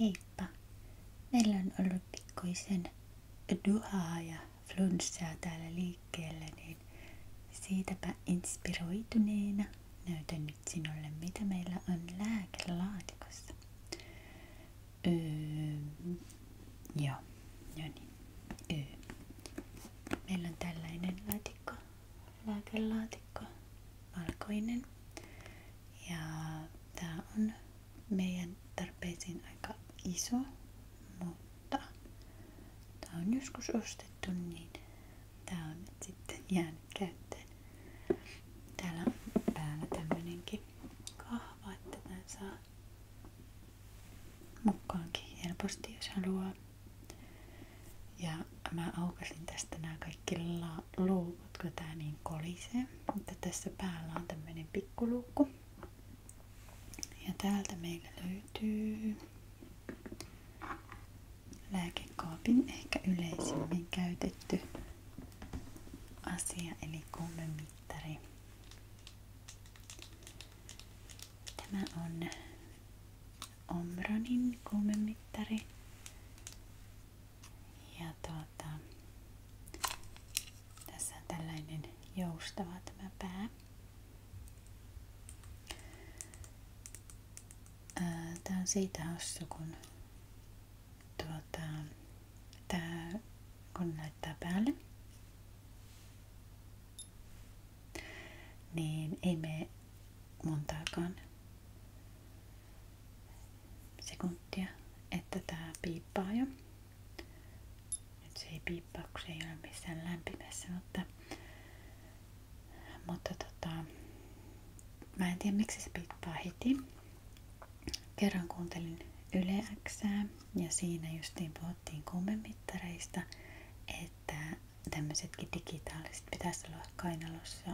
Heippa! Meillä on ollut pikkuisen duhaa ja flunssaa täällä liikkeellä, niin siitäpä inspiroituneena näytän nyt sinulle, mitä meillä on lääkelaatikossa. Öö, joo, joo no niin. Öö. Meillä on tällainen laatikko, lääkelaatikko valkoinen ja tää on meidän tarpeisiin aika iso, mutta tää on joskus ostettu, niin tää on nyt sitten jäänyt käyttöön. Täällä on päällä tämmönenkin kahva, että tän saa mukaankin helposti, jos haluaa. Ja mä aukasin tästä nämä kaikki la- Huomaatko tää niin kolisee? Mutta tässä päällä on tämmöinen pikkuluukku. Ja täältä meillä löytyy lääkekaapin ehkä yleisimmin käytetty asia eli kuumemittari. Tämä on Omronin kuumemittari. Ja tuota, tässä on tällainen joustava tämä pää. Tää on siitä hassu, kun, tuota, tää, kun laittaa päälle, niin ei me montaakaan sekuntia, että tää piippaa jo. Nyt se ei piippaa, kun se ei ole missään lämpimässä, mutta, mutta tota, mä en tiedä miksi se piippaa heti. Kerran kuuntelin Yle Xää, ja siinä justiin puhuttiin kuumemittareista, että tämmöisetkin digitaaliset pitäisi olla kainalossa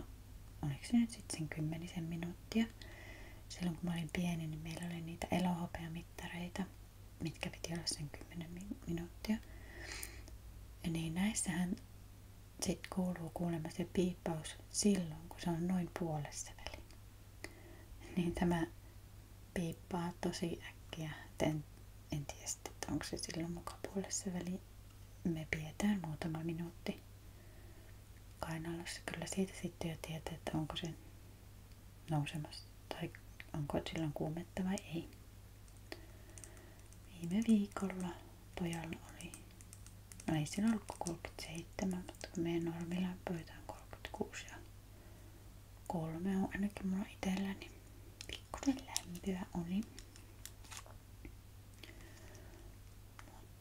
oliko se nyt sitten sen kymmenisen minuuttia. Silloin kun mä olin pieni, niin meillä oli niitä elohopeamittareita, mitkä piti olla sen 10 minuuttia. Ja niin näissähän sit kuuluu kuulemma se piippaus silloin, kun se on noin puolessa väliin. Niin tämä piippaa tosi äkkiä. En, en tiedä sitten, onko se silloin muka puolessa väliin. Me pidetään muutama minuutti kainalossa. Kyllä siitä sitten jo tietää, että onko se nousemassa tai onko silloin kuumetta vai ei. Viime viikolla pojalla oli, no ei siinä ollut 37, mutta kun meidän normilla pöytä on 36 ja kolme on ainakin mulla itellä Niin pikkusen lämpöä oli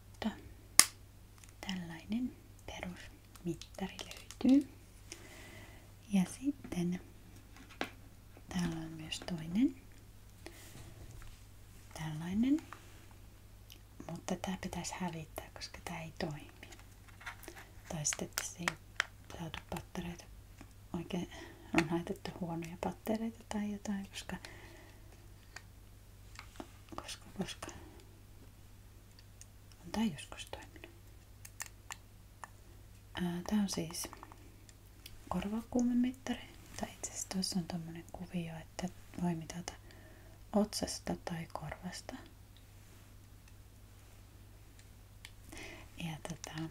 mutta tällainen perusmittari löytyy. Ja sitten täällä on myös toinen tällainen, mutta tämä pitäisi hävittää, koska tämä ei toimi. Tai sitten tässä ei saatu pattereita oikein, on laitettu huonoja pattereita tai jotain, koska koska, koska. On tää joskus toiminut. Ää, tää on siis korvakuumemittari. Tai itse asiassa tuossa on tommonen kuvio, että voi mitata otsasta tai korvasta. Ja tota,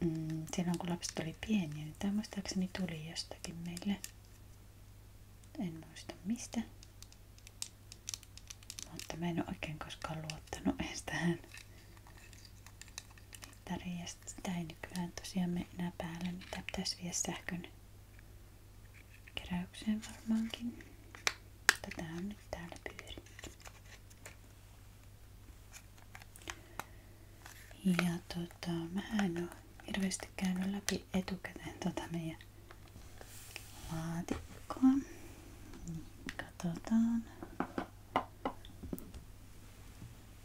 mm, silloin kun lapset oli pieniä, niin tämä muistaakseni tuli jostakin meille. En muista mistä. Mutta mä en ole oikein koskaan luottanut edes tähän mittariin. Ja sitä ei nykyään tosiaan mene päälle, mitä niin pitäisi viedä sähkön keräykseen varmaankin. Tätä on nyt täällä pyöritty. Ja tota, mä en ole hirveästi käynyt läpi etukäteen tota meidän laatikkoa. Katsotaan.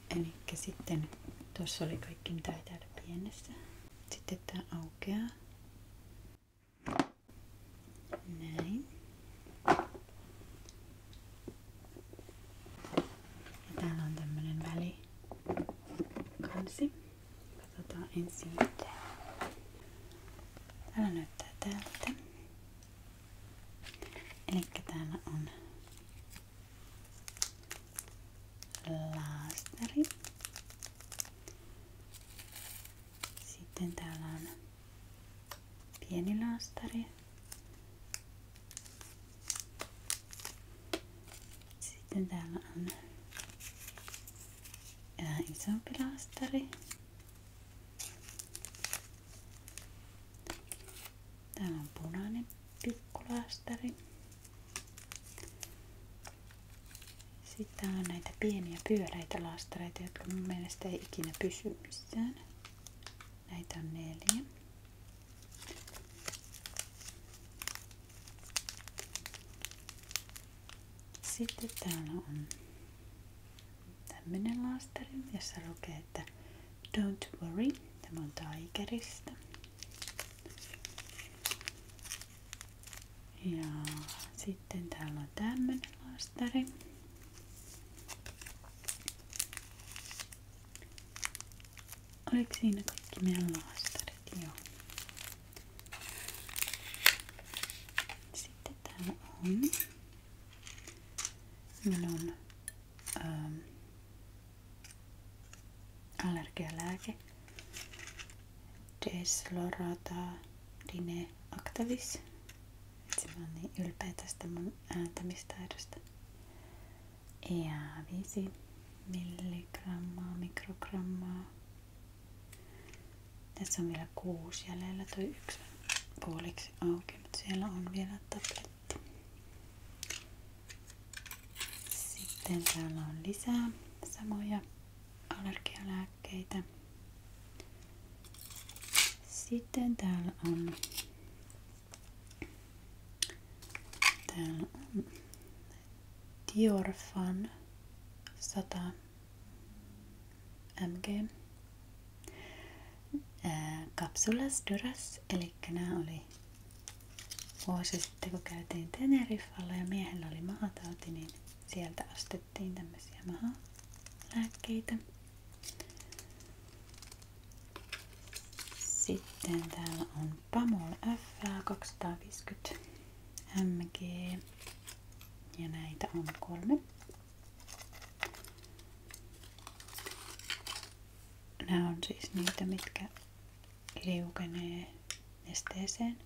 Eli sitten tuossa oli kaikki mitä ei täällä pienessä. Sitten tää aukeaa. Näin. Ja täällä on tämmönen välikansi. Katsotaan ensin mitä Täällä näyttää tältä. Eli täällä on laastari. Sitten täällä on pieni laastari. Sitten täällä on vähän isompi lastari. Täällä on punainen pikkulastari. Sitten täällä on näitä pieniä pyöreitä lastareita, jotka mun mielestä ei ikinä pysy missään. Näitä on neljä. Sitten täällä on tämmönen laasteri, jossa lukee, että Don't worry. Tämä on Tigerista. Ja sitten täällä on tämmönen laastari. Oliko siinä kaikki meidän laastarit? Joo. Sitten täällä on. Meillä on ähm, allergialääke. Deslorata Dine Actavis. Itse mä oon niin ylpeä tästä mun ääntämistaidosta. Ja 5 milligrammaa, mikrogrammaa tässä on vielä kuusi jäljellä, toi yksi puoliksi auki, mutta siellä on vielä tabletti. Sitten täällä on lisää samoja allergialääkkeitä. Sitten täällä on, täällä on Dior Fan 100 mg äh, Kapsulas Duras, eli nämä oli vuosi sitten kun käytiin Teneriffalla ja miehellä oli mahatauti, niin sieltä ostettiin tämmöisiä mahalääkkeitä. Sitten täällä on Pamol F 250 MG ja näitä on kolme. Nämä on siis niitä, mitkä liukenee nesteeseen,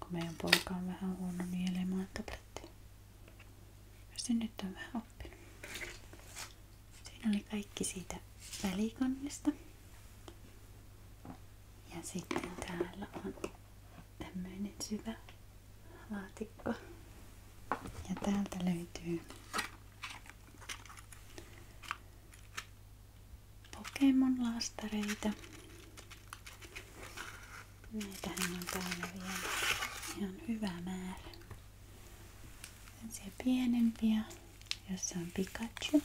kun meidän poika on vähän huono nielemaan tabletteja. Se nyt on vähän oppinut. Siinä oli kaikki siitä välikannesta. Ja sitten täällä on tämmöinen syvä laatikko. Ja täältä löytyy Pokemon lastareita. Näitähän on täällä vielä ihan hyvä määrä. Tällaisia pienempiä, jossa on Pikachu.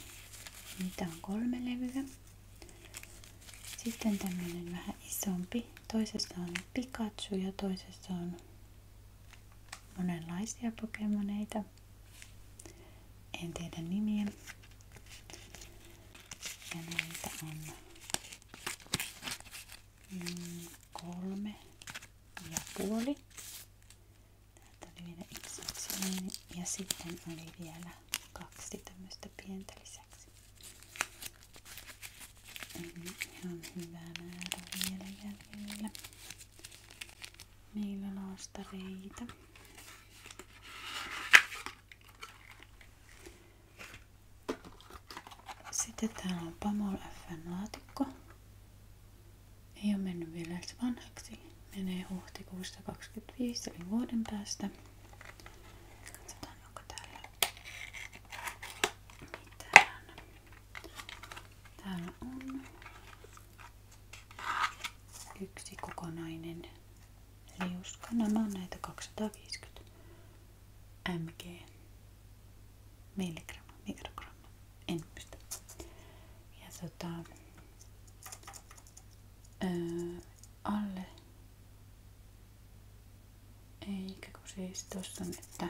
Niitä on kolme levyä. Sitten tämmönen vähän isompi. Toisessa on Pikachu ja toisessa on monenlaisia pokemoneita. En tiedä nimiä. Ja näitä on mm, kolme ja puoli. Täältä oli vielä yksi Ja sitten oli vielä kaksi tämmöistä pientä lisäksi. Eli ihan hyvä määrä vielä jäljellä. Meillä laastareita. Sitten täällä on Pamol FN laatikko. Ei ole mennyt vielä vanhaksi menee huhtikuussa 25 eli vuoden päästä. on yksi kokonainen liuska. Nämä on näitä 250 mg milligramma, mikrogramma, en muista. Ja tota, öö, alle eikä kun siis tuossa on, että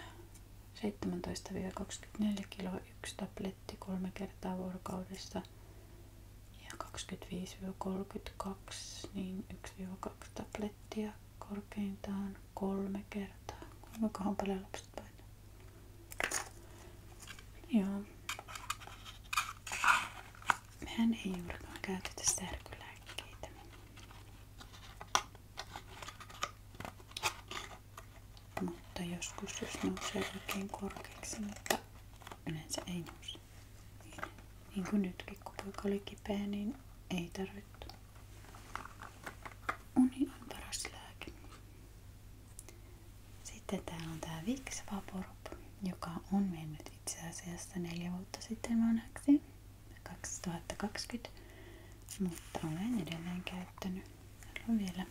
17-24 kiloa yksi tabletti kolme kertaa vuorokaudessa ja 25-32 niin 1-2 tablettia korkeintaan kolme kertaa. Kuinkahan paljon lapset painaa? Joo. Mehän ei juurikaan käytetä särkylääkkeitä. Niin- mutta joskus jos nousee oikein korkeaksi, mutta yleensä ei nouse. Niin kuin nytkin, kun poika oli kipeä, niin ei tarvittu. Uni on paras lääke. Sitten täällä on tää Vicks Vaporub joka on mennyt itse asiassa neljä vuotta sitten vanhaksi, 2020, mutta olen edelleen käyttänyt. Haluan vielä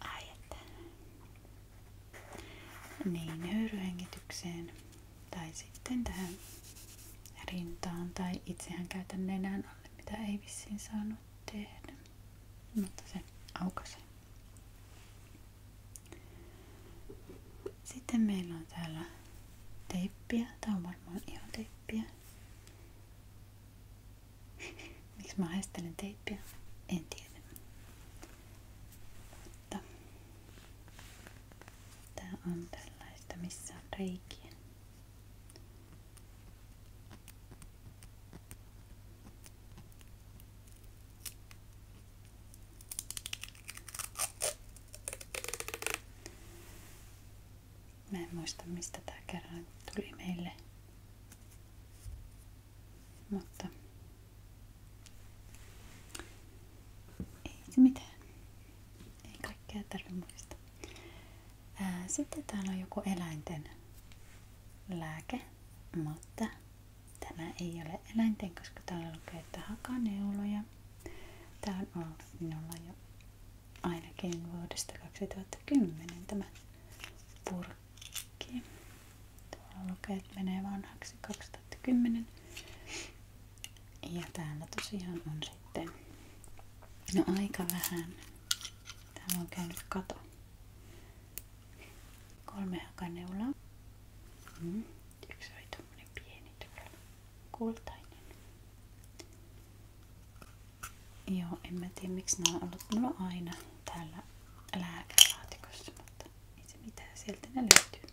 Ai että. Niin, höyryhengitykseen tai sitten tähän rintaan tai itsehän käytän nenän alle, mitä ei vissiin saanut tehdä mutta se aukasi. Sitten meillä on täällä teippiä. Tää on varmaan ihan teippiä. Miksi mä haistelen teippiä? En tiedä. Mutta tää on tällaista, missä on reikiä. Mä en muista mistä tää kerran tuli meille. Mutta ei se mitään. Ei kaikkea tarvitse muistaa. sitten täällä on joku eläinten lääke, mutta tämä ei ole eläinten, koska täällä lukee, että hakaneuloja. Tämä on ollut minulla jo ainakin vuodesta 2010 tämä purkki. Tuolla lukee, että menee vanhaksi 2010. Ja täällä tosiaan on sitten no aika vähän. Täällä on käynyt kato. Kolme hakaneulaa. Mm. Mm-hmm. Yksi oli tommonen pieni tuolla. Kultainen. Joo, en mä tiedä miksi nämä on ollut mulla aina täällä lääkälaatikossa, mutta ei se mitään, sieltä ne löytyy.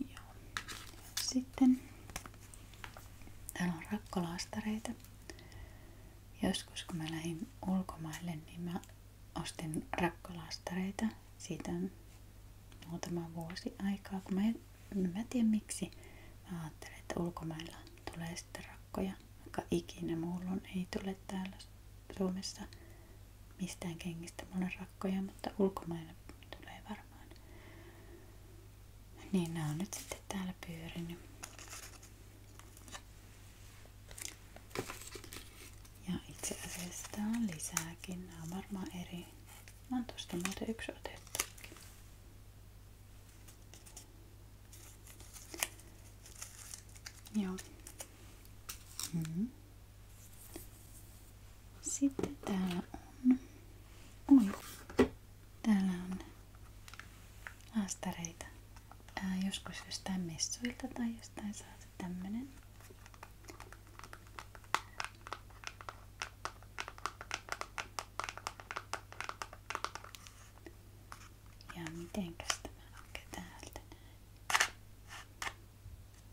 Joo. Sitten täällä on rakkolaastareita. Joskus kun mä lähdin ulkomaille, niin mä ostin rakkolaastareita. Siitä on muutama vuosi aikaa, kun mä en, mä tiedä miksi. Mä ajattelin, että ulkomailla tulee sitten rakkoja, vaikka ikinä mullon ei tule täällä Suomessa mistään kengistä mulle rakkoja, mutta ulkomailla tulee varmaan varmaan. Niin nämä on nyt sitten täällä pyörinyt. Ja itse asiassa tää on lisääkin. Nämä on varmaan eri. Mä oon tosta muuten yksi otettukin. Joo. Mm -hmm. Sitten täällä on, oi, täällä on haastareita. Ää, joskus jostain messuilta tai jostain saatu tämmönen. Ja mitenkäs tämä onkin täältä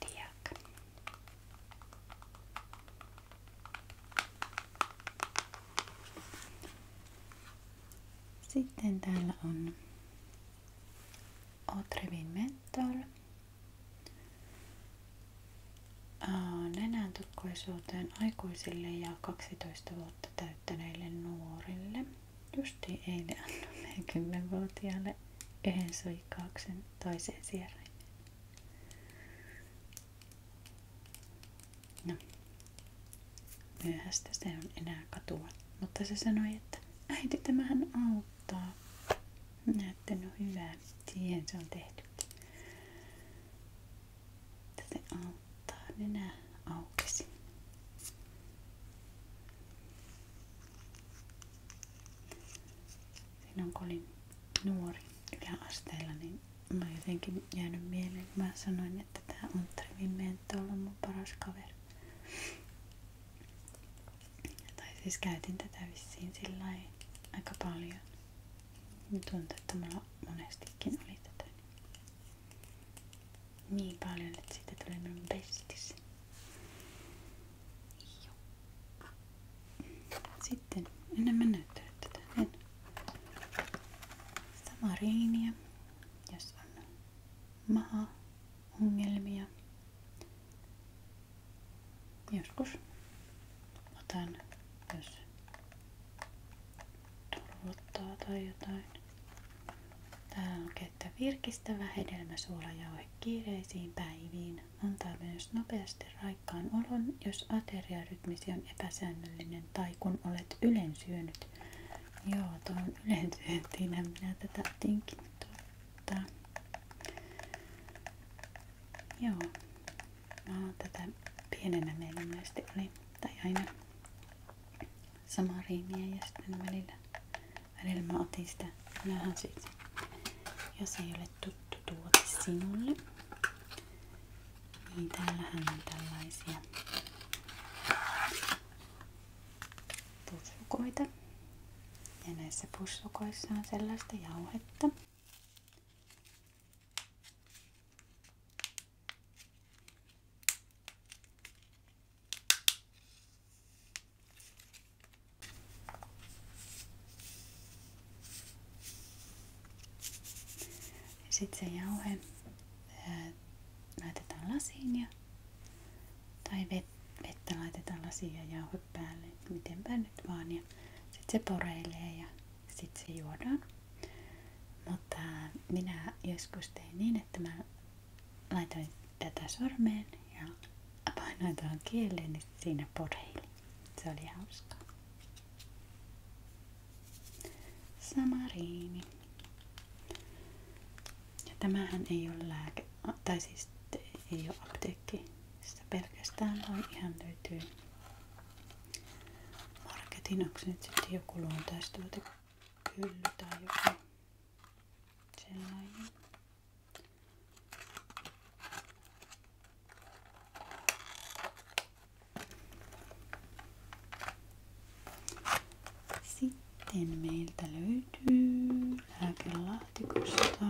Diak. Sitten täällä on Otrevin Menthol nenän tukkoisuuteen aikuisille ja 12 vuotta täyttäneille nuorille. Justi ei eilen annoin 10-vuotiaalle yhden suikkauksen toiseen sieraimen. No, myöhäistä se on enää katua. Mutta se sanoi, että äiti tämähän auttaa. Minä että no hyvä, siihen se on tehty. Tätä auttaa nenä aukesi. Silloin kun olin nuori yläasteella, niin mä oon jotenkin jäänyt mieleen, mä sanoin, että tää Unttari Vimmentto on mun paras kaveri. Tai siis käytin tätä vissiin sillä aika paljon. Tuntuu, että mulla monestikin oli tätä niin paljon, että siitä tuli minun bestis. Sitten en mä näyttänyt tätä. En. Sama riiniä, jos on maha ongelmia. Joskus otan, jos turvottaa tai jotain. Täällä on käyttää virkistävä hedelmäsuola jauhe kiireisiin päiviin. Antaa myös nopeasti raikkaan olon, jos ateriarytmisi on epäsäännöllinen tai kun olet ylen ylensyönyt. Joo, tuon ylensyöntiinä minä tätä tinkin Joo, Mä oon tätä pienenä meillä monesti oli, tai aina samaa riimiä ja sitten välillä, välillä mä otin sitä. Nähän siitä. Jos ei ole tuttu tuote sinulle, niin täällähän on tällaisia pussukoita. Ja näissä pussukoissa on sellaista jauhetta, sitten se jauhe laitetaan lasiin ja, tai vet, vettä laitetaan lasiin ja jauhe päälle, mitenpä nyt vaan. sitten se poreilee ja sitten se juodaan. Mutta minä joskus tein niin, että mä laitoin tätä sormeen ja painoin tuohon kieleen, niin siinä poreili. Se oli hauskaa. Samariini. Ja tämähän ei ole lääke, tai siis ei ole apteekki. Sitä pelkästään vaan ihan löytyy marketin, onko nyt sitten joku luontaistolta hylly tai joku sellainen. Sitten meiltä löytyy lääkelaatikosta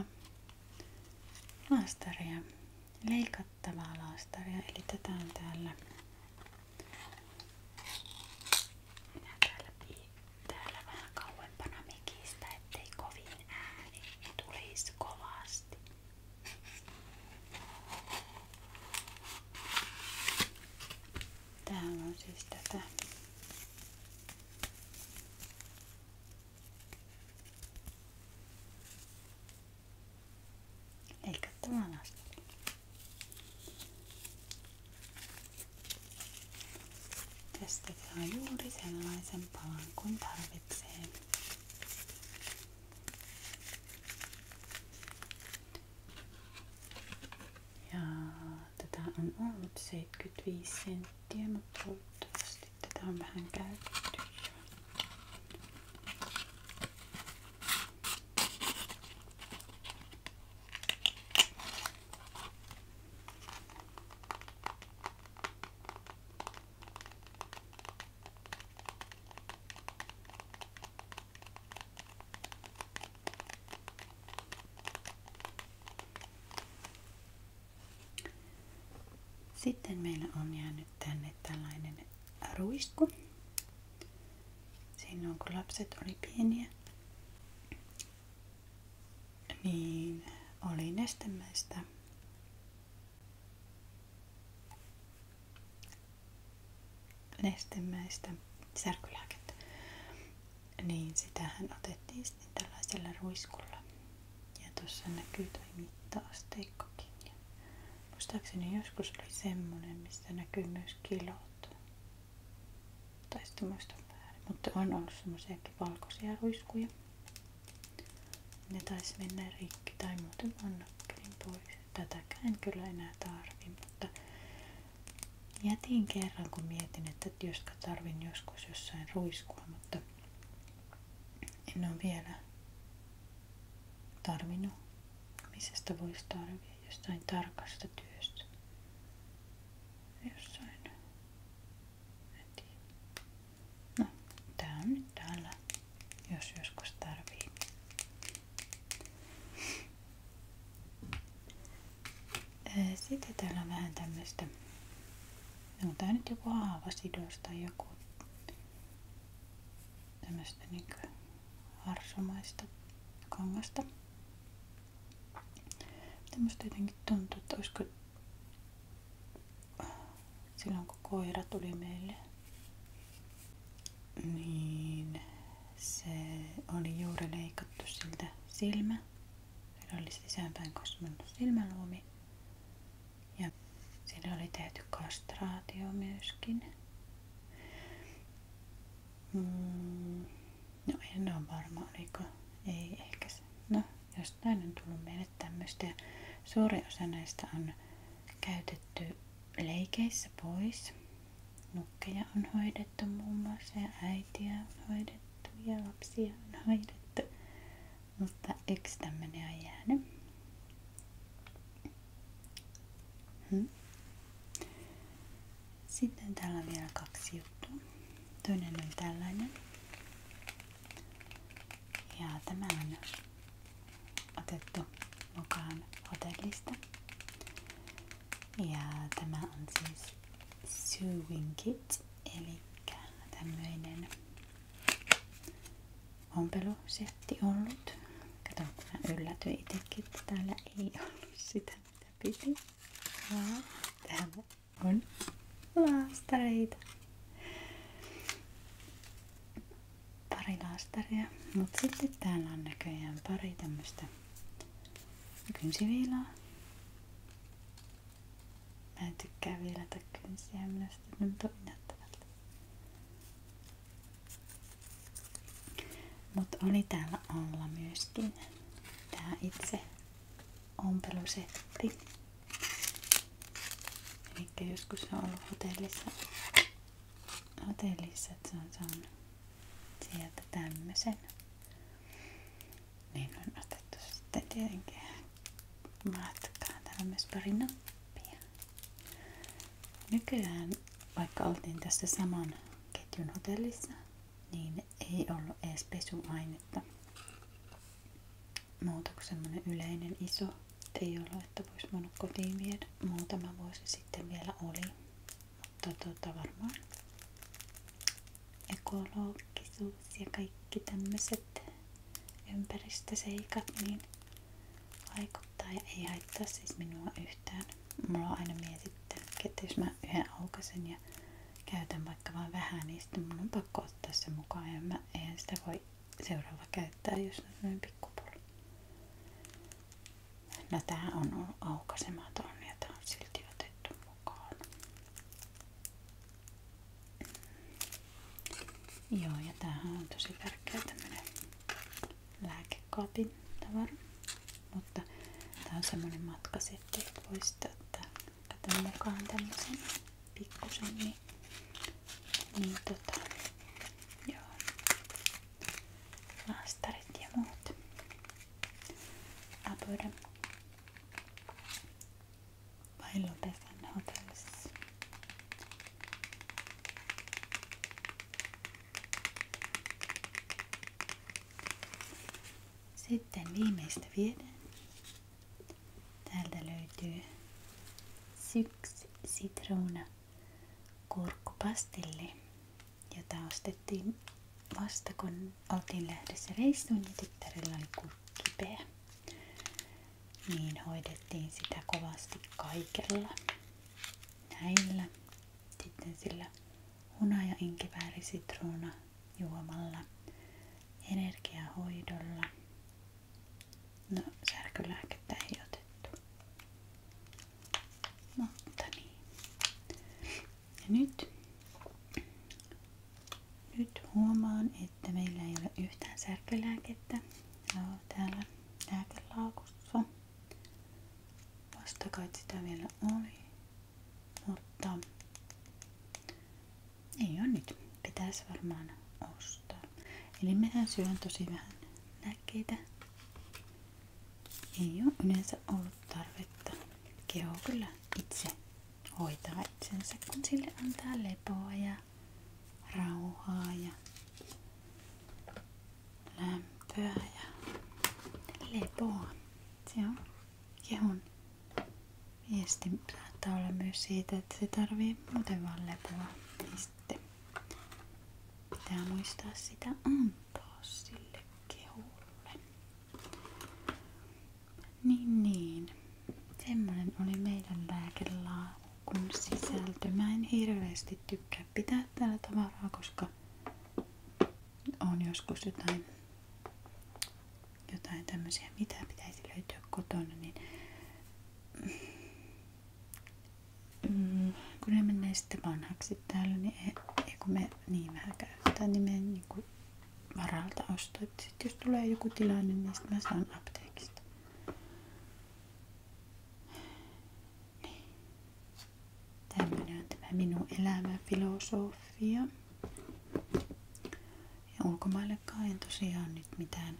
laastaria, leikattavaa laastaria, eli tätä on täällä minä täällä, täällä vähän kauempana mikistä, ettei kovin ääni tulisi kovasti. Täällä on siis tätä leikattava anastoli. Tästä saa juuri sellaisen palan kuin tarvitsee. Ja tätä on ollut 75 senttiä, mutta toivottavasti tätä on vähän käytetty sitten meillä on jäänyt tänne tällainen ruisku silloin kun lapset oli pieniä, niin oli nestemäistä nestemäistä särkylääkettä. Niin sitähän otettiin sitten tällaisella ruiskulla. Ja tuossa näkyy toi mittaasteikkokin. Ja Muistaakseni joskus oli semmonen, mistä näkyy myös kilot. Tai sitten muistan väärin. Mutta on ollut semmoisiakin valkoisia ruiskuja. Ne taisi mennä rikki tai muuten annakkelin pois. Tätäkään en kyllä enää tarvi, mutta jätin kerran kun mietin, että joska tarvin joskus jossain ruiskua, mutta en ole vielä tarvinnut. Missä sitä voisi tarvita? jostain tarkasta työstä. Jossain. En tiedä. No, tää on nyt täällä, jos joskus tarvii. Sitten täällä on vähän tämmöistä, onko tää nyt joku haavasidos joku tämmöistä niin harsomaista kangasta. Tämmöistä jotenkin tuntuu, että olisiko silloin kun koira tuli meille, niin se oli juuri leikattu siltä silmä. Sillä oli sisäänpäin kasvanut silmäluomi. Ja sillä oli tehty kastraatio myöskin. Mm. no en ole varma, oliko. Ei ehkä No, jostain on tullut meille tämmöistä. Suuri osa näistä on käytetty leikeissä pois. Nukkeja on hoidettu muun muassa ja äitiä on hoidettu ja lapsia on hoidettu. Mutta yksi tämmöinen on jäänyt. Hmm. Sitten täällä on vielä kaksi juttua. Toinen on tällainen. Ja tämä on otettu mukaan hotellista. Ja tämä on siis sewing kit, eli tämmöinen ompelusehti paketti ollut. Kato, kun mä yllätyin itsekin, että täällä ei ollut sitä mitä piti. Vaan täällä on laastareita. Pari laastaria. Mut sitten täällä on näköjään pari tämmöstä kynsiviilaa. Mä en tykkää viilata kynsiä, minusta ne tuntuu mutta oli täällä alla myöskin tämä itse ompelusetti. Eli joskus se on ollut hotellissa, hotellissa että se on saanut sieltä tämmösen. Niin on otettu sitten tietenkin matkaan. Täällä on myös pari nappia. Nykyään, vaikka oltiin tässä saman ketjun hotellissa, niin ei ollut edes pesuainetta. Muuta kuin semmonen yleinen iso ei ollut, että voisi voinut kotiin viedä. Muutama vuosi sitten vielä oli, mutta tota varmaan ekologisuus ja kaikki tämmöiset ympäristöseikat niin aika tai ei haittaa siis minua yhtään. Mulla aina mietittää, että jos mä yhden aukasen ja käytän vaikka vain vähän, niin sitten mun on pakko ottaa se mukaan ja mä, eihän sitä voi seuraava käyttää, jos on noin pikkupullo. No tää on ollut aukasematon ja tää Joo, ja tämähän on tosi tärkeä tämmönen lääkekaapin tavara. Mutta tää on semmonen matkasetti, että voisit ottaa katon mukaan tämmösen pikkusen. Niin, niin tota, joo. Laastarit ja muut. Vai lopetan hotellissa. Sitten viimeistä vieden. Täältä löytyy syks sitruuna kurkkupastilli, jota ostettiin vasta kun oltiin lähdössä reissuun ja tyttärellä oli kurkkipeä. Niin hoidettiin sitä kovasti kaikella. Näillä sitten sillä hunaja inkivääri sitruuna juomalla, energiahoidolla. No, särkylääkettä ei otettu. Mutta niin. Ja nyt, nyt huomaan, että meillä ei ole yhtään särkylääkettä. No, täällä lääkelaakussa. Vasta kai sitä vielä oli. Mutta ei on nyt. Pitäisi varmaan ostaa. Eli mehän syön tosi vähän lääkkeitä. Ei ole yleensä ollut tarvetta. Keho kyllä itse hoitaa itsensä, kun sille antaa lepoa ja rauhaa ja lämpöä ja lepoa. Se on kehon viesti saattaa olla myös siitä, että se tarvii muuten vaan lepoa. Niin sitten pitää muistaa sitä antaa sille keholle. Niin niin. semmoinen oli meidän lääkelaaukun sisältö. Mä en hirveästi tykkää pitää täällä tavaraa, koska on joskus jotain, jotain tämmöisiä, mitä pitäisi löytyä kotona, niin mm, kun ne menee sitten vanhaksi täällä, niin ei, ei kun me niin vähän käytetään, niin me niin kuin varalta ostaa. Sitten jos tulee joku tilanne, niin sitten mä saan apteekista. Niin. Tämmöinen on tämä minun elämäfilosofia. Ja ulkomaillekaan en tosiaan nyt mitään,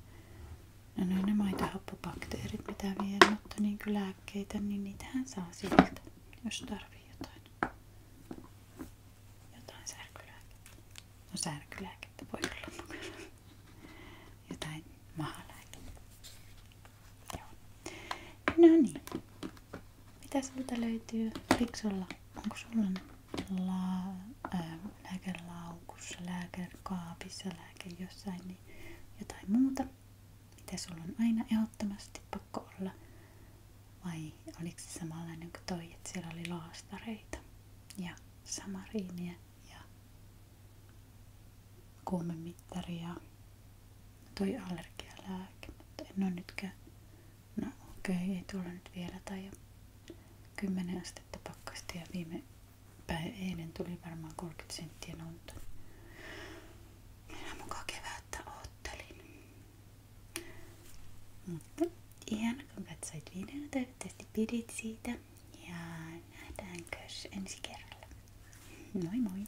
no, no ne on ne maitohappobakteerit mitä vien, mutta niin kuin lääkkeitä, niin niitähän saa sieltä, jos tarvii jotain. Jotain särkylääkettä. No särkylääkettä voi olla Jotain mahalääkettä. Joo. No niin. Mitä sulta löytyy fiksulla? Onko sulla la, ää, äh, lääkelaukussa, lääkekaapissa, lääke jossain, niin jotain muuta? Mitä sulla on aina ehdottomasti pakko olla? Vai oliko se samanlainen kuin toi, että siellä oli laastareita ja samariinia ja kuumemittaria toi allergialääke, mutta en ole nytkään, no okei, okay, ei tuolla nyt vielä tai kymmenen astetta pakkasta ja viime päivä eilen tuli varmaan 30 senttiä lunta. Mutta ihan kun katsoit videon, toivottavasti pidit siitä ja nähdäänkö ensi kerralla. Moi moi!